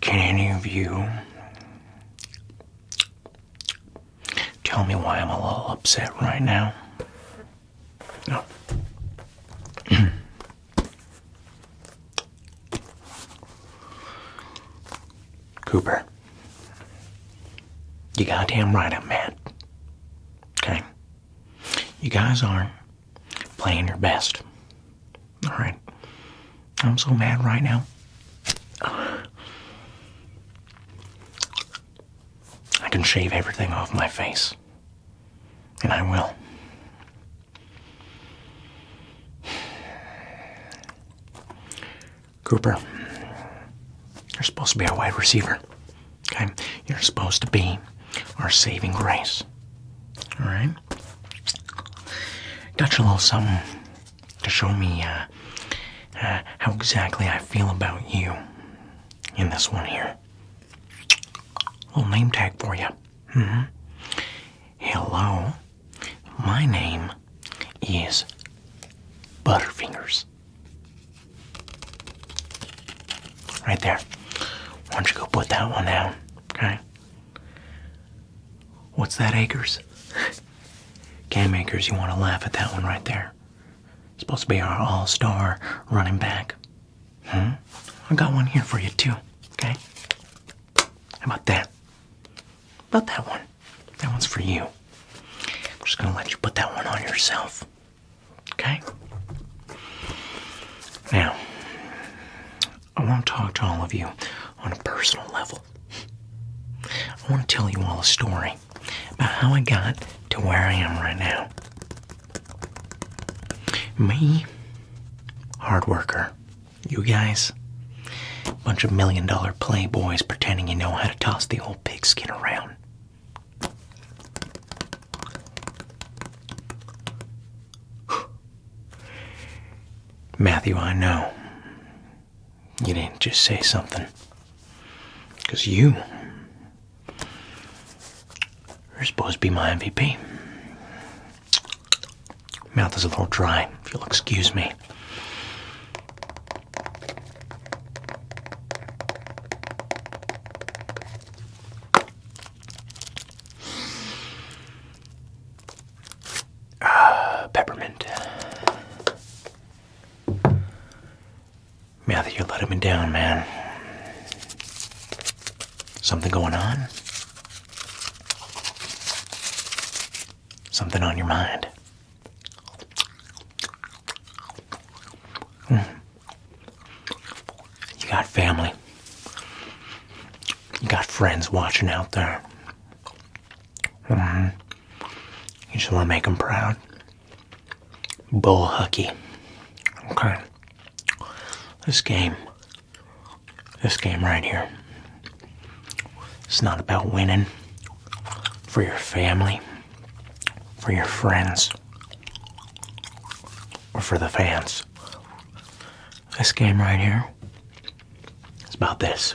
Can any of you Tell me why I'm a little upset right now. No. Cooper, you goddamn right I'm mad. Okay? You guys are playing your best. Alright? I'm so mad right now. I can shave everything off my face. And I will. Cooper, you're supposed to be our wide receiver. Okay? You're supposed to be our saving grace. Alright? Got you a little something to show me uh, uh, how exactly I feel about you in this one here. Little name tag for you. Mm -hmm. Hello, my name is Butterfingers. Right there. Why don't you go put that one down? Okay. What's that, Acres? Cam makers, you want to laugh at that one right there. supposed to be our all-star running back. Hmm? I got one here for you too. Okay? How about that? about that one? That one's for you. I'm just gonna let you put that one on yourself. Okay? Now, I want to talk to all of you on a personal level I want to tell you all a story about how I got to where I am right now. Me, hard worker. You guys, bunch of million dollar playboys pretending you know how to toss the old pigskin around. Matthew, I know you didn't just say something. Because you are supposed to be my MVP. Mouth is a little dry, if you'll excuse me. Uh, peppermint. Yeah, that you're letting me down, man. Something going on? Something on your mind? Hmm. You got family. You got friends watching out there. Uh-huh. You just want to make them proud. Bull Hucky. Okay. This game, this game right here, it's not about winning for your family, for your friends, or for the fans. This game right here, it's about this.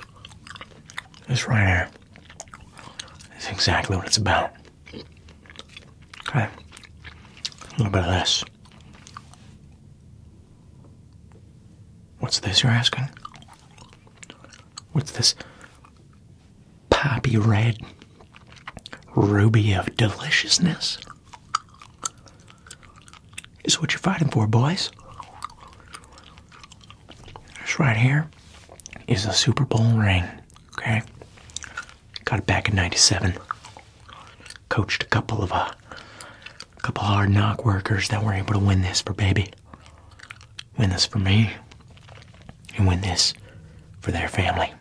This right here is exactly what it's about. Okay. A little bit of this. What's this you're asking? What's this poppy red ruby of deliciousness? Is what you're fighting for, boys. This right here is a Super Bowl ring. Okay, got it back in '97. Coached a couple of a uh, couple hard knock workers that were able to win this for baby, win this for me, and win this for their family.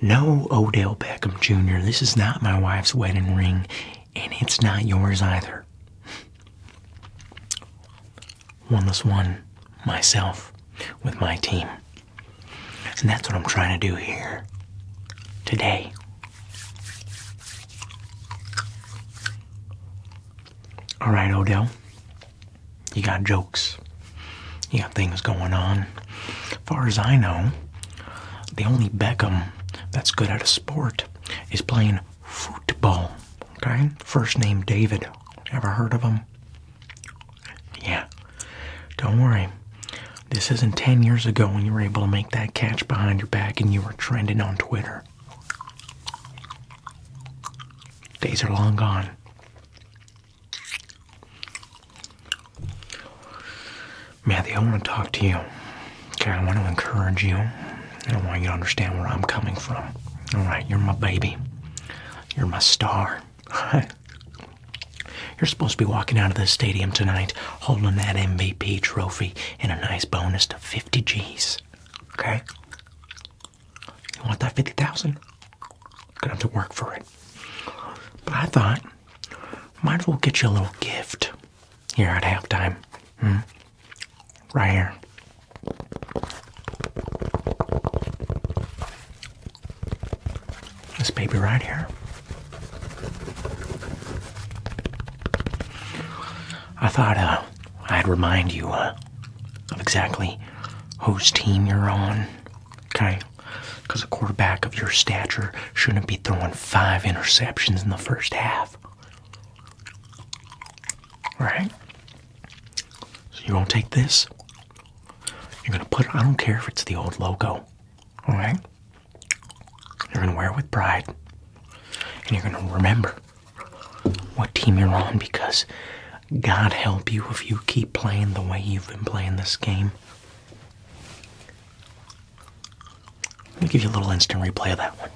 No Odell Beckham Jr. This is not my wife's wedding ring and it's not yours either. One less one, myself, with my team. And that's what I'm trying to do here today. All right, Odell. You got jokes. You got things going on. far as I know, the only Beckham that's good at a sport is playing football. Okay, first name David. Ever heard of him? Yeah. Don't worry. This isn't 10 years ago when you were able to make that catch behind your back and you were trending on Twitter. Days are long gone. Matthew, I want to talk to you. Okay, I want to encourage you. I want you to understand where I'm coming from. All right, you're my baby. You're my star. You're supposed to be walking out of this stadium tonight holding that MVP trophy and a nice bonus of 50 G's. Okay? You want that 50,000? You're gonna have to work for it. But I thought, might as well get you a little gift here at halftime. Hmm? Right here. This baby right here. I thought uh, I'd remind you uh, of exactly whose team you're on, okay? Because a quarterback of your stature shouldn't be throwing five interceptions in the first half. Right? So you're gonna take this, you're gonna put I don't care if it's the old logo, alright? You're gonna wear it with pride, and you're gonna remember what team you're on because God help you if you keep playing the way you've been playing this game. Let me give you a little instant replay of that one.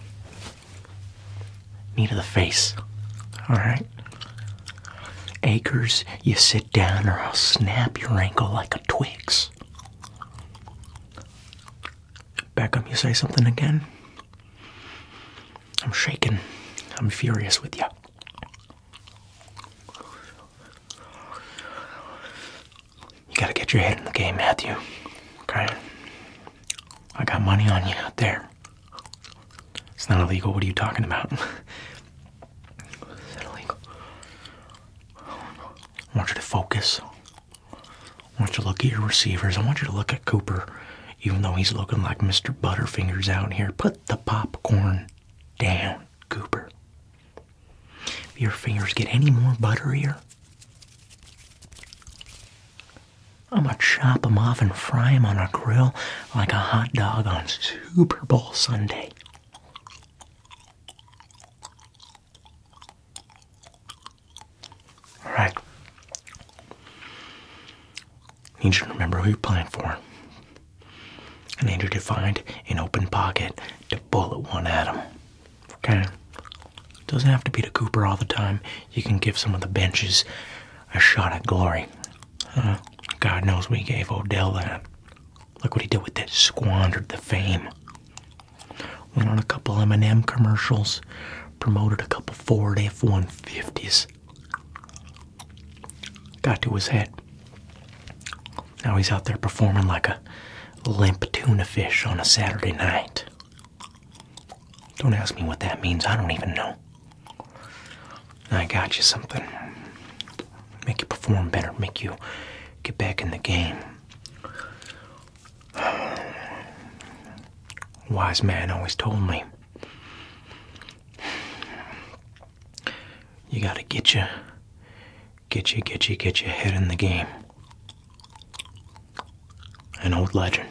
Knee to the face. Alright? Acres, you sit down or I'll snap your ankle like a Twix. Beckham, you say something again? I'm shaking. I'm furious with you. You gotta get your head in the game, Matthew. Okay? I got money on you out there. It's not illegal. What are you talking about? Is that illegal? I want you to focus. I want you to look at your receivers. I want you to look at Cooper, even though he's looking like Mr. Butterfingers out here. Put the popcorn down, Cooper. If your fingers get any more butterier, I'm gonna chop them off and fry them on a grill like a hot dog on Super Bowl Sunday. All right. I need you to remember who you're playing for. And need you to find an open pocket to bullet one at him. Okay. It doesn't have to be to Cooper all the time. You can give some of the benches a shot at glory. God knows we gave Odell that. Look what he did with it. Squandered the fame. Went on a couple M&M commercials. Promoted a couple Ford F-150s. Got to his head. Now he's out there performing like a limp tuna fish on a Saturday night. Don't ask me what that means. I don't even know. I got you something. Make you perform better. Make you get back in the game. Wise man always told me you gotta get you Get you, get you, get your head in the game. An old legend.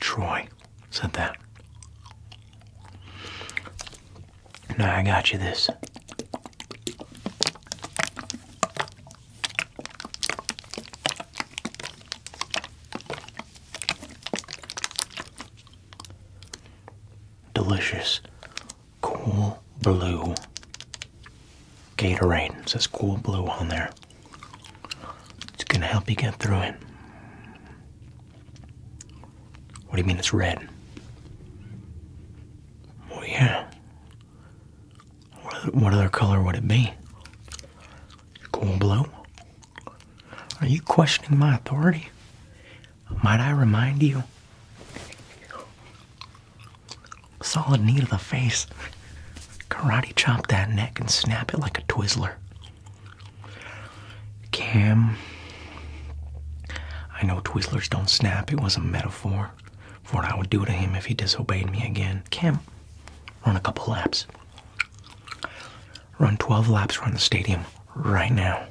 Troy said that. Now I got you this. Delicious Cool Blue Gatorade. It says Cool Blue on there. It's going to help you get through it. What do you mean it's red? Oh, yeah. What other color would it be? Cool blue? Are you questioning my authority? Might I remind you Solid knee to the face. Karate chop that neck and snap it like a Twizzler. Cam. I know Twizzlers don't snap. It was a metaphor for what I would do to him if he disobeyed me again. Cam, run a couple laps. Run 12 laps around the stadium right now.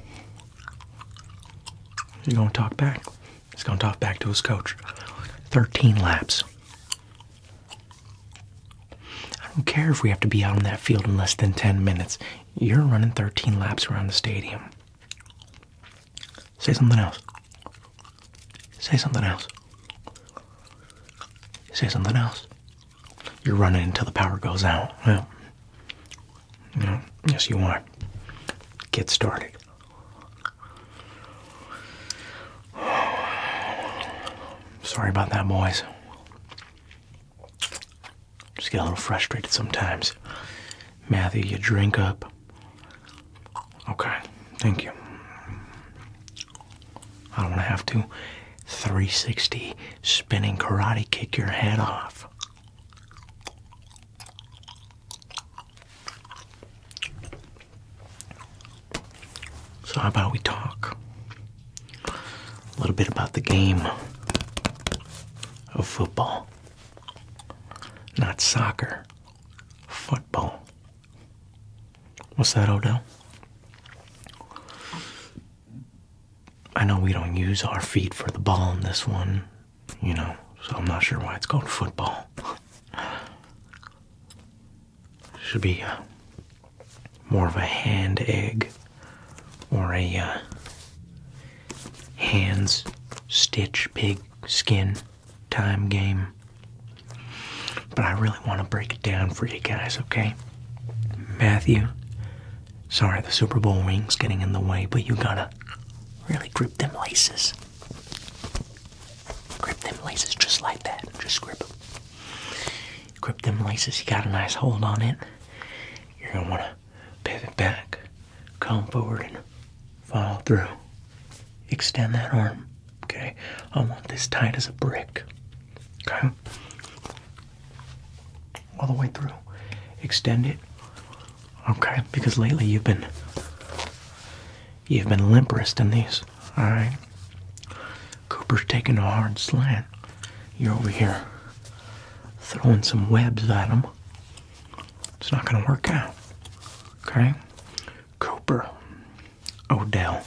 You're going to talk back. He's going to talk back to his coach. 13 laps. I don't care if we have to be out in that field in less than 10 minutes. You're running 13 laps around the stadium. Say something else. Say something else. Say something else. You're running until the power goes out. Well, you know, yes, you are. Get started. Sorry about that, boys. Just get a little frustrated sometimes. Matthew, you drink up. Okay, thank you. I don't have to 360 spinning karate kick your head off. So, how about we talk a little bit about the game of football? Not soccer, football. What's that, Odell? I know we don't use our feet for the ball in this one, you know, so I'm not sure why it's called football. Should be uh, more of a hand egg or a uh, hands stitch pig skin time game. But I really want to break it down for you guys, okay? Matthew, sorry the Super Bowl ring's getting in the way, but you gotta really grip them laces. Grip them laces just like that. Just grip them. Grip them laces. You got a nice hold on it. You're going to want to pivot back, come forward, and follow through. Extend that arm. Okay? I want this tight as a brick. Okay? All the way through. Extend it. Okay, because lately you've been you've been limp in these. All right. Cooper's taking a hard slant. You're over here throwing some webs at him. It's not going to work out. Okay, Cooper, Odell,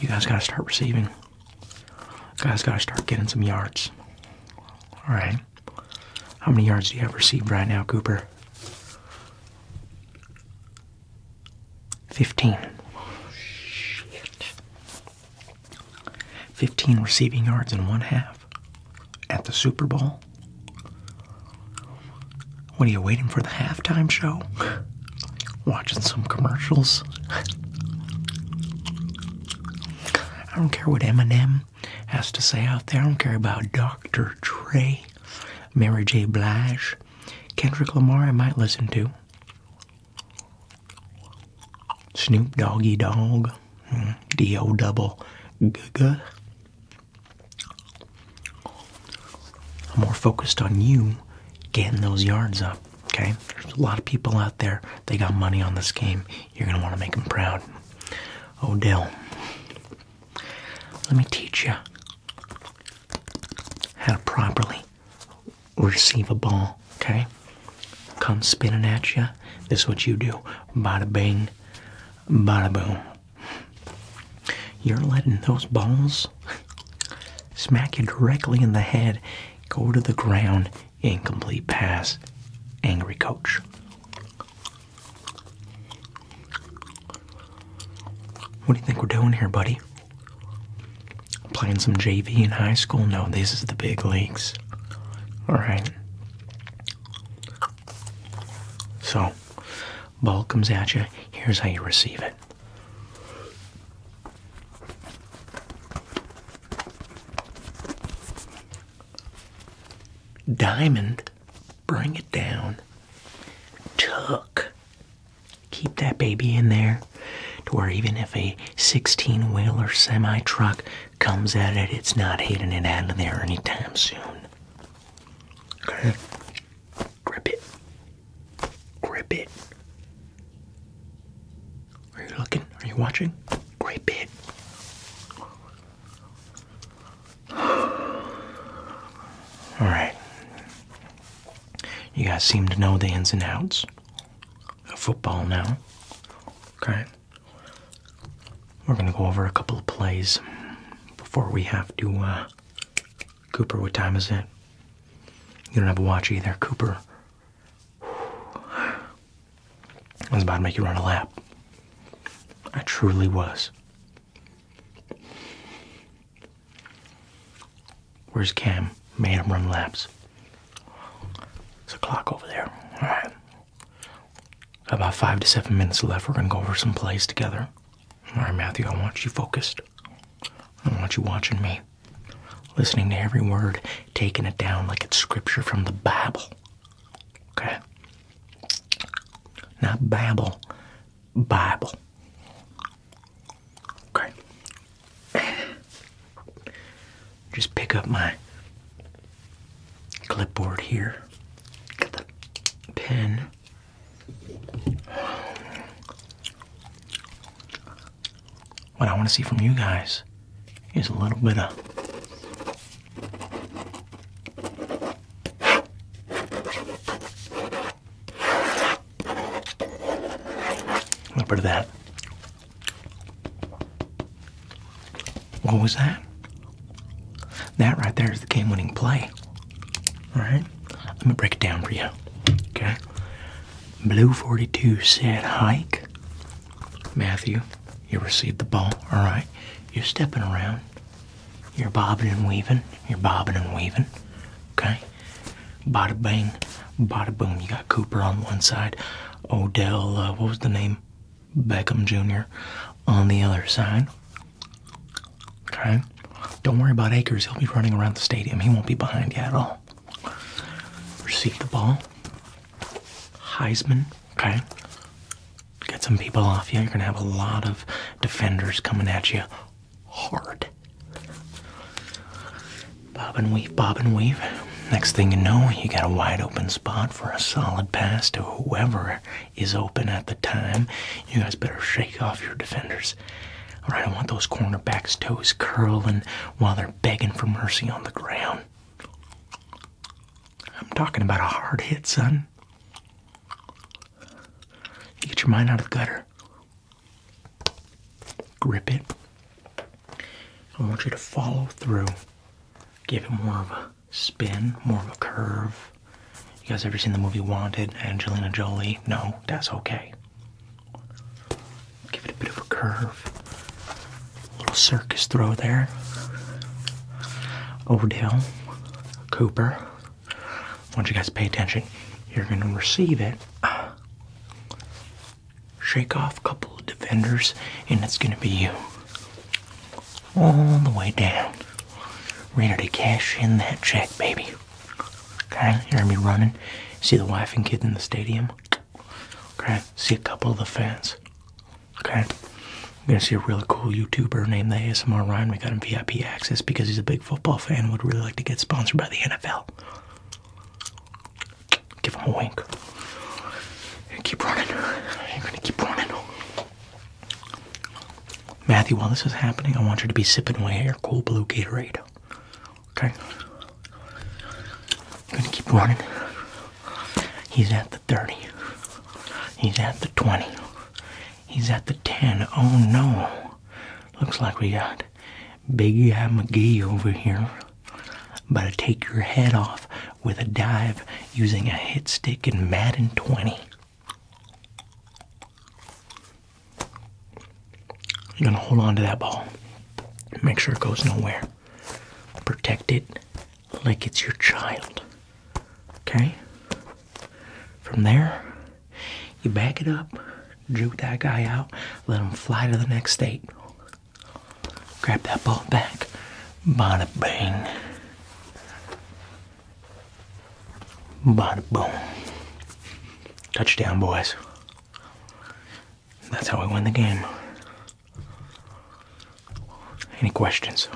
you guys got to start receiving. guys got to start getting some yards. All right. How many yards do you have received right now, Cooper? 15. shit. 15 receiving yards in one half at the Super Bowl. What are you waiting for the halftime show? Watching some commercials? I don't care what Eminem has to say out there. I don't care about Dr. Dre, Mary J. Blige, Kendrick Lamar, I might listen to. Snoop Doggy Dogg, hmm, D-O double Gaga. I'm more focused on you getting those yards up, okay? There's a lot of people out there, they got money on this game. You're going to want to make them proud. Odell. Let me teach you how to properly receive a ball, okay? Comes spinning at you. This is what you do. Bada bing, bada boom. You're letting those balls smack you directly in the head, go to the ground, incomplete pass, angry coach. What do you think we're doing here, buddy? Playing some JV in high school? No, this is the big leagues. Alright. So, ball comes at you. Here's how you receive it. Diamond Bring it down. Tuck. Keep that baby in there to where even if a 16 wheeler semi truck comes at it, it's not hitting it out of there anytime soon. Okay. Grip it. Grip it. Are you looking? Are you watching? Grip it. All right. You guys seem to know the ins and outs of football now. Okay. We're going to go over a couple of plays before we have to. Uh, Cooper, what time is it? You don't have a watch either, Cooper. I was about to make you run a lap. I truly was. Where's Cam? Made him run laps. There's a clock over there. Alright. About five to seven minutes left. We're going to go over some plays together. Alright, Matthew, I want you focused. I want you watching me. Listening to every word, taking it down like it's scripture from the Bible. Okay. Not Babel, Bible. Okay. Just pick up my clipboard here. Get the pen. What I want to see from you guys is a little bit of a little bit of that. What was that? That right there is the game winning play. Alright? Let me break it down for you. Okay? Blue 42 said hike. Matthew, you received the ball. Alright? You're stepping around. You're bobbing and weaving. You're bobbing and weaving. Okay? Bada bang, bada boom. You got Cooper on one side, Odell, uh, what was the name? Beckham Jr. on the other side. Okay? Don't worry about Acres. He'll be running around the stadium. He won't be behind you at all. Receive the ball. Heisman, okay? get some people off you. You're going to have a lot of defenders coming at you hard. Bob and weave, bob and weave. Next thing you know, you got a wide open spot for a solid pass to whoever is open at the time. You guys better shake off your defenders. All right, I want those cornerbacks' toes curling while they're begging for mercy on the ground. I'm talking about a hard hit, son. get your mind out of the gutter. Grip it. I want you to follow through. Give it more of a spin, more of a curve. You guys ever seen the movie Wanted? Angelina Jolie? No, that's okay. Give it a bit of a curve. little circus throw there. Odell Cooper. Once you guys pay attention, you're going to receive it. Shake off a couple of defenders, and it's going to be you. All the way down. Ready to cash in that check, baby. Okay, you're going to be running. See the wife and kids in the stadium. Okay, see a couple of the fans. Okay. we are gonna see a really cool YouTuber named the ASMR Ryan. We got him VIP access because he's a big football fan. Would really like to get sponsored by the NFL. Give him a wink. And Keep running. You're gonna keep running. Matthew, while this is happening, I want you to be sipping away your cool blue Gatorade. Okay? gonna keep running. He's at the 30. He's at the 20. He's at the 10. Oh no. Looks like we got Big Guy McGee over here. About to take your head off with a dive using a hit stick and Madden 20. You're going to hold on to that ball. Make sure it goes nowhere. Protect it like it's your child. Okay? From there, you back it up, drew that guy out, let him fly to the next state. Grab that ball back. Bada bang. Bada boom. Touchdown, boys. That's how we win the game. Any questions?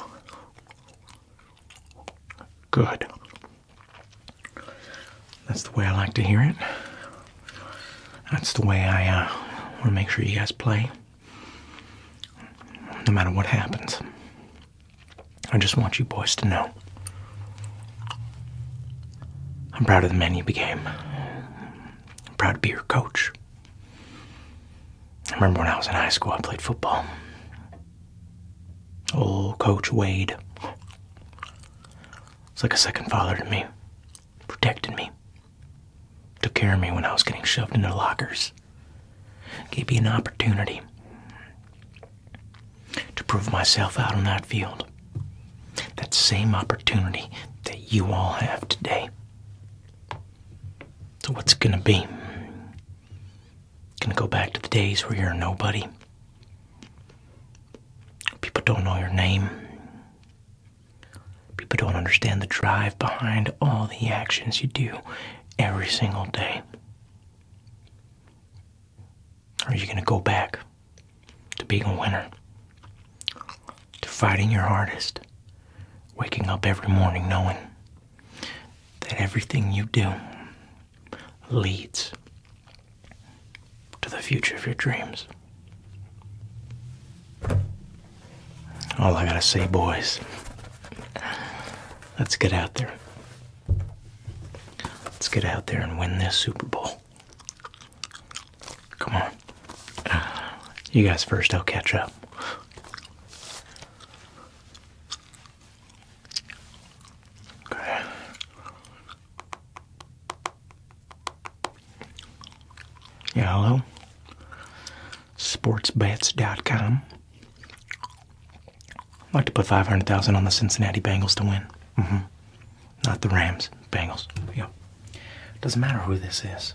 Good. That's the way I like to hear it. That's the way I uh, want to make sure you guys play. No matter what happens, I just want you boys to know. I'm proud of the man you became. I'm proud to be your coach. I remember when I was in high school, I played football. Old Coach Wade. It's like a second father to me. Protected me. Took care of me when I was getting shoved into lockers. Gave me an opportunity to prove myself out on that field. That same opportunity that you all have today. So, what's it gonna be? Gonna go back to the days where you're nobody. People don't know your name. People don't understand the drive behind all the actions you do every single day. Are you gonna go back to being a winner? To fighting your hardest? Waking up every morning knowing that everything you do leads to the future of your dreams. All I gotta say, boys, let's get out there. Let's get out there and win this Super Bowl. Come on. You guys first, I'll catch up. Yeah, hello. Sportsbets.com. I'd like to put 500,000 on the Cincinnati Bengals to win. Mm -hmm. Not the Rams, Bengals. Yeah. Doesn't matter who this is.